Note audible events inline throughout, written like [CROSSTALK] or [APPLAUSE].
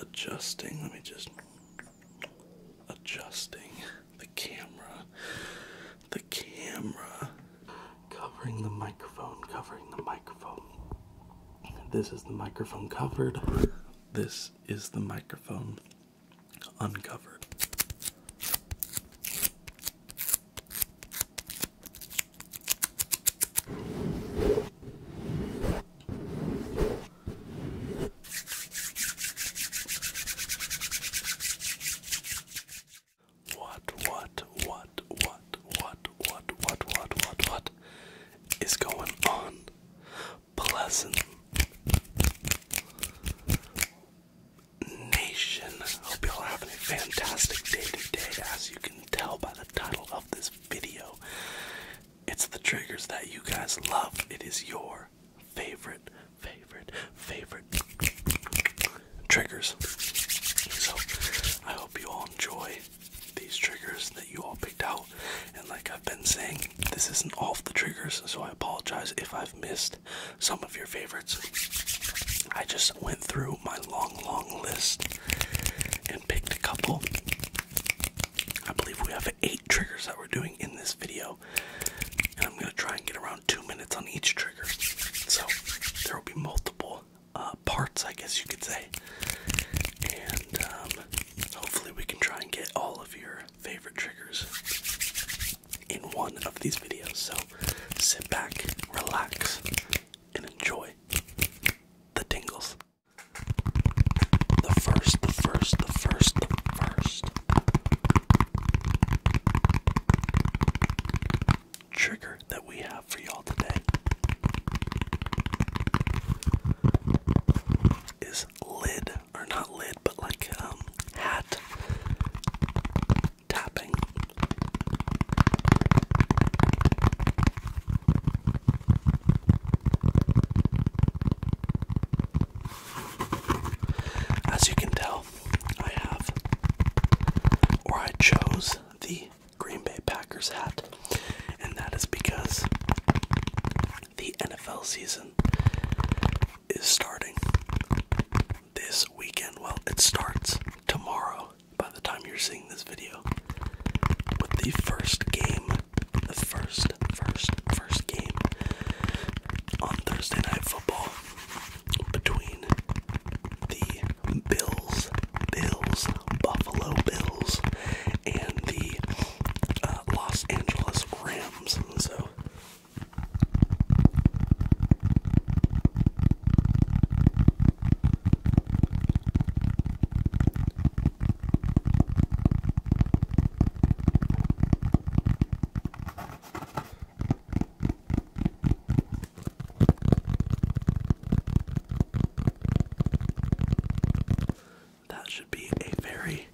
adjusting. Let me just adjusting the camera. The camera covering the microphone, covering the microphone. This is the microphone covered. This is the microphone uncovered. What, what, what, what, what, what, what, what, what is going on? Pleasant Nation. Hope you all having a fantastic day today. As you can tell by the title of this video. It's the triggers that you guys love. It is your favorite, favorite, favorite triggers. So I hope you all enjoy these triggers that you all picked out. And like I've been saying, this isn't all the triggers, so I apologize if I've missed some of your favorites. I just went through my long, long list and picked a couple I believe we have eight triggers that we're doing in this video, and I'm gonna try and get around two minutes on each trigger. So there will be multiple uh, parts, I guess you could say, and um, hopefully we can try and get all of your favorite triggers in one of these videos. So sit back, relax, and enjoy the tingles. The first, the first, the first, the first trigger that we have for y'all today is lid, or not lid, but like um, hat tapping. As you can tell, I have, or I chose the Green Bay Packers hat, and that is because the NFL season is starting this weekend. Well, it starts tomorrow by the time you're seeing this video with the first game, the first, first, first game on Thursday Night Football between the Bills, Bills, Buffalo Bills, and the uh, Los Angeles Rams. So. That should be a very,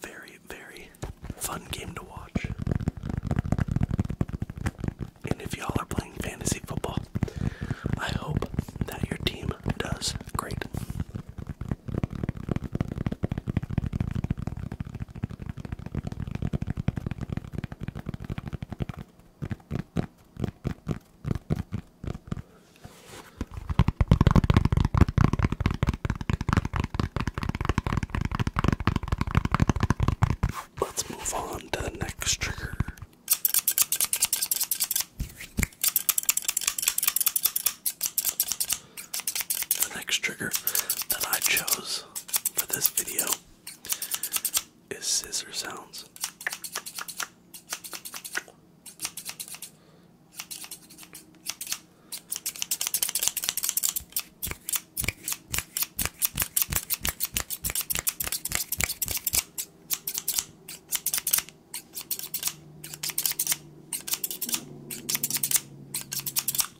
very, very fun game to watch. And if y'all are playing fantasy football, I hope that your team does great. Let's move on to the next trigger. The next trigger that I chose for this video is scissor sounds.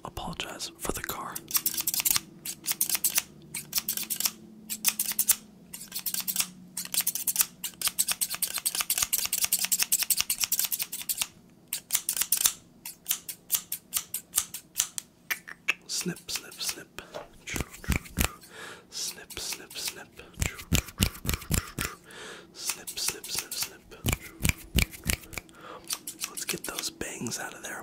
Apologize for the car. Snip, snip, snip snip. Snip, snip, snip. Snip, snip, snip, snip. Let's get those bangs out of there.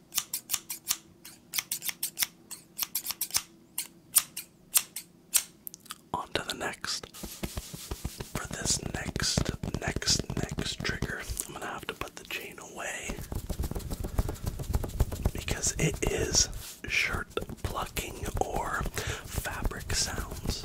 On to the next. For this next, next, next trigger, I'm gonna have to put the chain away because it is shirt plucking or fabric sounds.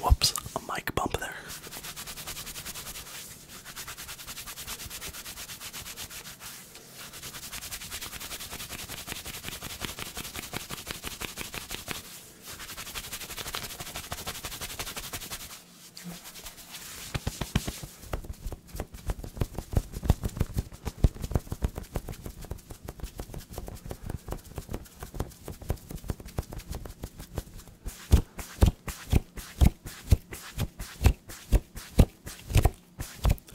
Whoops, a mic bump there.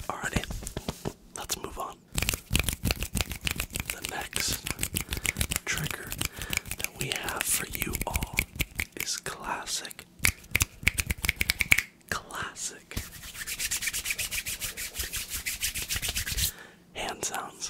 Alrighty, let's move on. The next trigger that we have for you all is classic Classic. Hand sounds.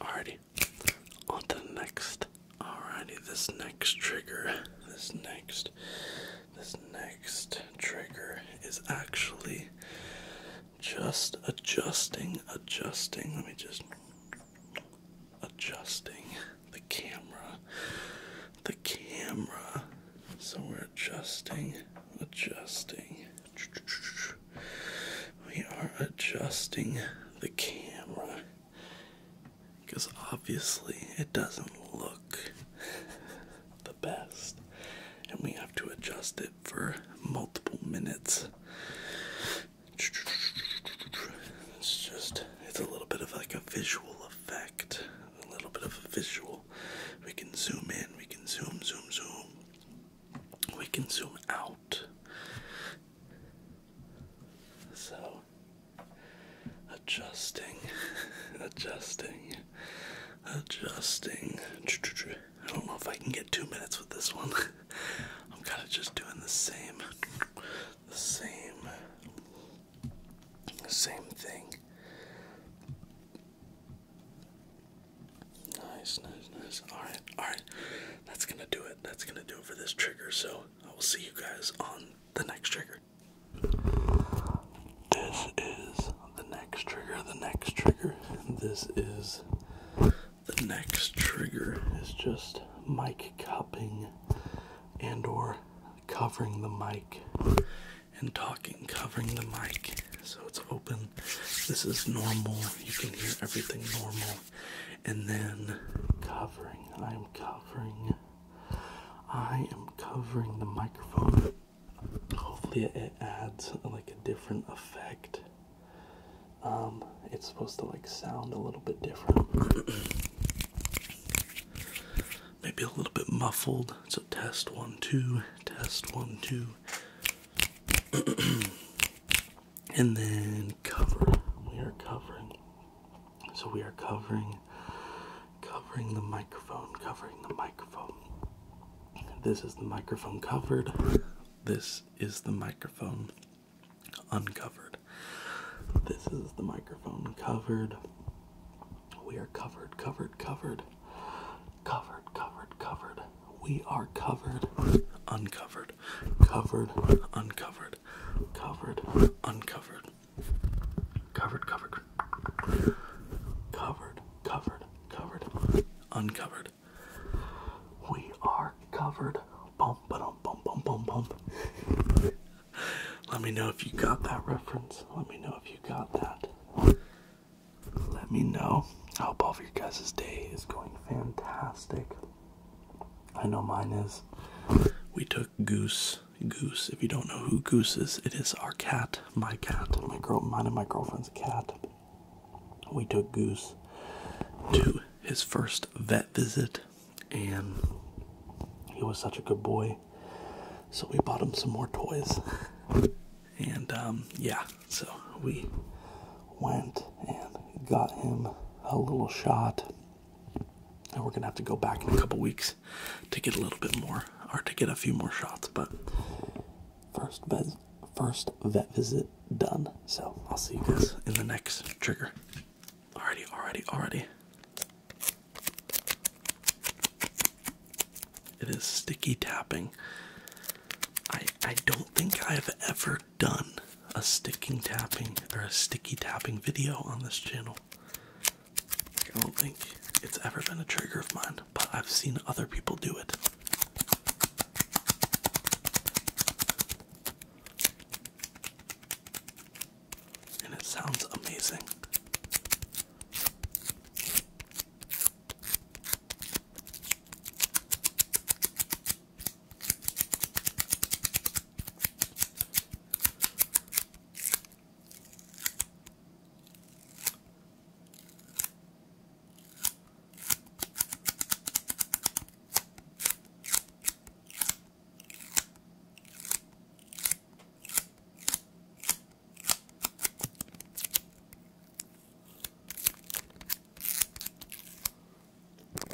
Alrighty, on to next. Alrighty, this next trigger, this next, this next trigger is actually just adjusting, adjusting. Let me just adjusting the camera. The camera. So we're adjusting, adjusting. We are adjusting the camera because obviously it doesn't look the best, and we have to adjust it for multiple minutes. It's just, it's a little bit of like a visual effect. A little bit of a visual. We can zoom in, we can zoom, zoom, zoom. We can zoom out. So, adjusting, [LAUGHS] adjusting, adjusting. I don't know if I can get two minutes with this one. [LAUGHS] I'm kind of just doing the same, the same same thing. Nice, nice, nice. Alright, alright. That's gonna do it. That's gonna do it for this trigger. So I will see you guys on the next trigger. This is the next trigger, the next trigger. This is the next trigger is just mic cupping and or covering the mic and talking covering the mic so it's open this is normal you can hear everything normal and then covering i am covering i am covering the microphone hopefully it adds like a different effect um, it's supposed to like sound a little bit different. [COUGHS] Maybe a little bit muffled. So test one, two, test one, two. [COUGHS] and then cover. We are covering. So we are covering covering the microphone, covering the microphone. This is the microphone covered. This is the microphone uncovered. This is the microphone covered. We are covered, covered, covered, covered, covered, covered. We are covered, uncovered, covered, uncovered, covered, uncovered, covered, covered, covered, covered, covered, uncovered. We are covered, let me know if you got that reference. Let me know if you got that. Let me know. I hope all of your guys' day is going fantastic. I know mine is. We took Goose. Goose. If you don't know who Goose is, it is our cat, my cat, my girl, mine and my girlfriend's cat. We took Goose to his first first vet visit, and he was such a good boy, so we bought him some more toys. and um, yeah, so we went and got him a little shot, and we're gonna have to go back in a couple weeks to get a little bit more or to get a few more shots, but first vet first vet visit done. So I'll see you guys in the next trigger. Alrighty, alrighty, alrighty. It is sticky tapping. I I don't think I've ever done a sticking tapping or a sticky tapping video on this channel. I don't think it's ever been a trigger of mine, but I've seen other people do it. And it sounds amazing.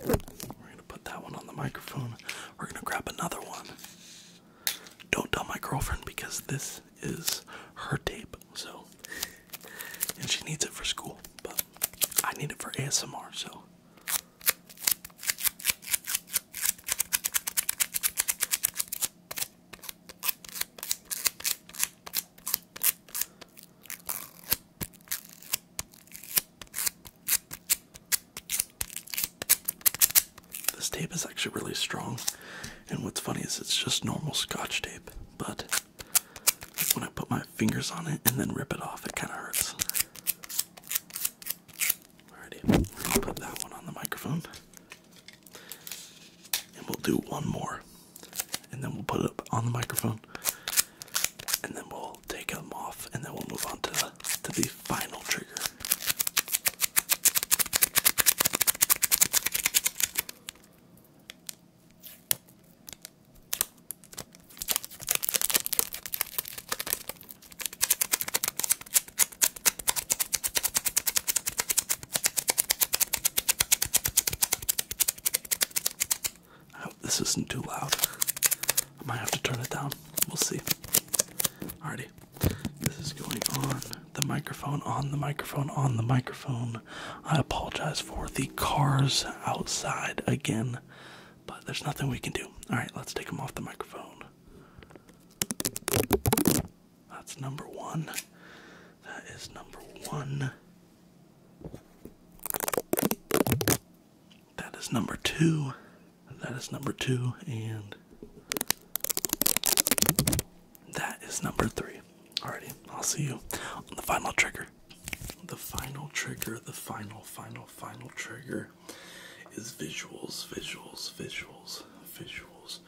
We're gonna put that one on the microphone. We're gonna grab another one. Don't tell my girlfriend because this is her tape, so and she needs it for school, but I need it for ASMR, so this tape is actually really strong, and what's funny is it's just normal scotch tape, but when I put my fingers on it and then rip it off. It kind of hurts. Alrighty, we're put that one on the microphone. And we'll do one more. And then we'll put it up on the microphone. And then we'll take them off and then we'll move on to to the final trigger. I hope this isn't too loud. I might have to turn it down. We'll see. Alrighty. This is going on the microphone, on the microphone, on the microphone. I apologize for the cars outside again but there's nothing we can do. All right, let's take them off the microphone. That's number one. That is number one. That is number two. That is number two. And that is number three. Alrighty, I'll see you on the final trigger. The final trigger, the final, final, final trigger is visuals, visuals, visuals, visuals.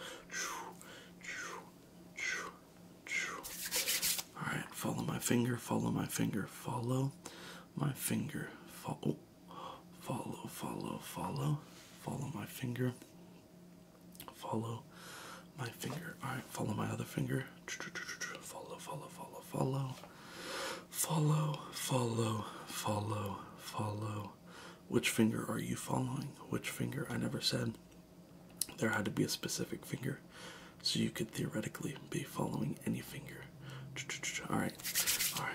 Alright, follow my finger, follow my finger, follow my finger, follow, oh, follow, follow, follow, follow my finger, follow my finger. Alright, follow my other finger, follow, follow, follow, follow. Follow, follow, follow, follow. Which finger are you following? Which finger? I never said there had to be a specific finger, so you could theoretically be following any finger. All right, all right.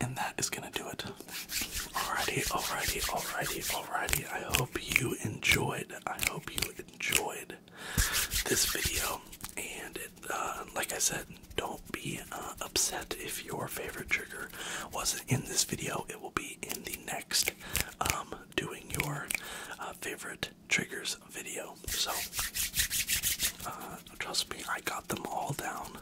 And that is gonna do it. Alrighty, alrighty, alrighty, alrighty. I hope you enjoyed. I hope you enjoyed this video. And it, uh, like I said, don't be uh, upset if your favorite trigger wasn't in this video. It will be in the next um, doing your uh, favorite triggers video. So uh, trust me, I got them all down.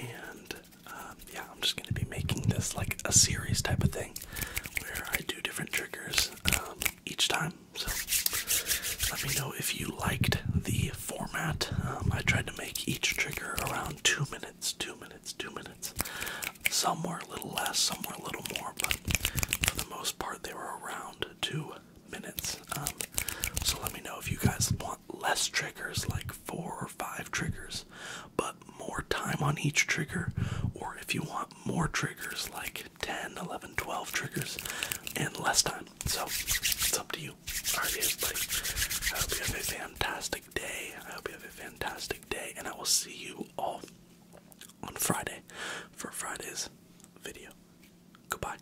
And um, yeah, I'm just going to be making this like a series type of thing where I do different triggers um, each time. So let me know if you liked the format. Um, I tried to make each trigger around two minutes, two minutes, two minutes. Some were a little less, some were a little more, but for the most part, they were around two minutes. so let me know if you guys want less triggers, like four or five triggers, but more time on each trigger, or if you want more triggers, like ten, eleven, twelve triggers, and less time. So it's up to you. Alright, everybody. I hope you have a fantastic day. I hope you have a fantastic day, and I will see you all on Friday for Friday's video. Goodbye.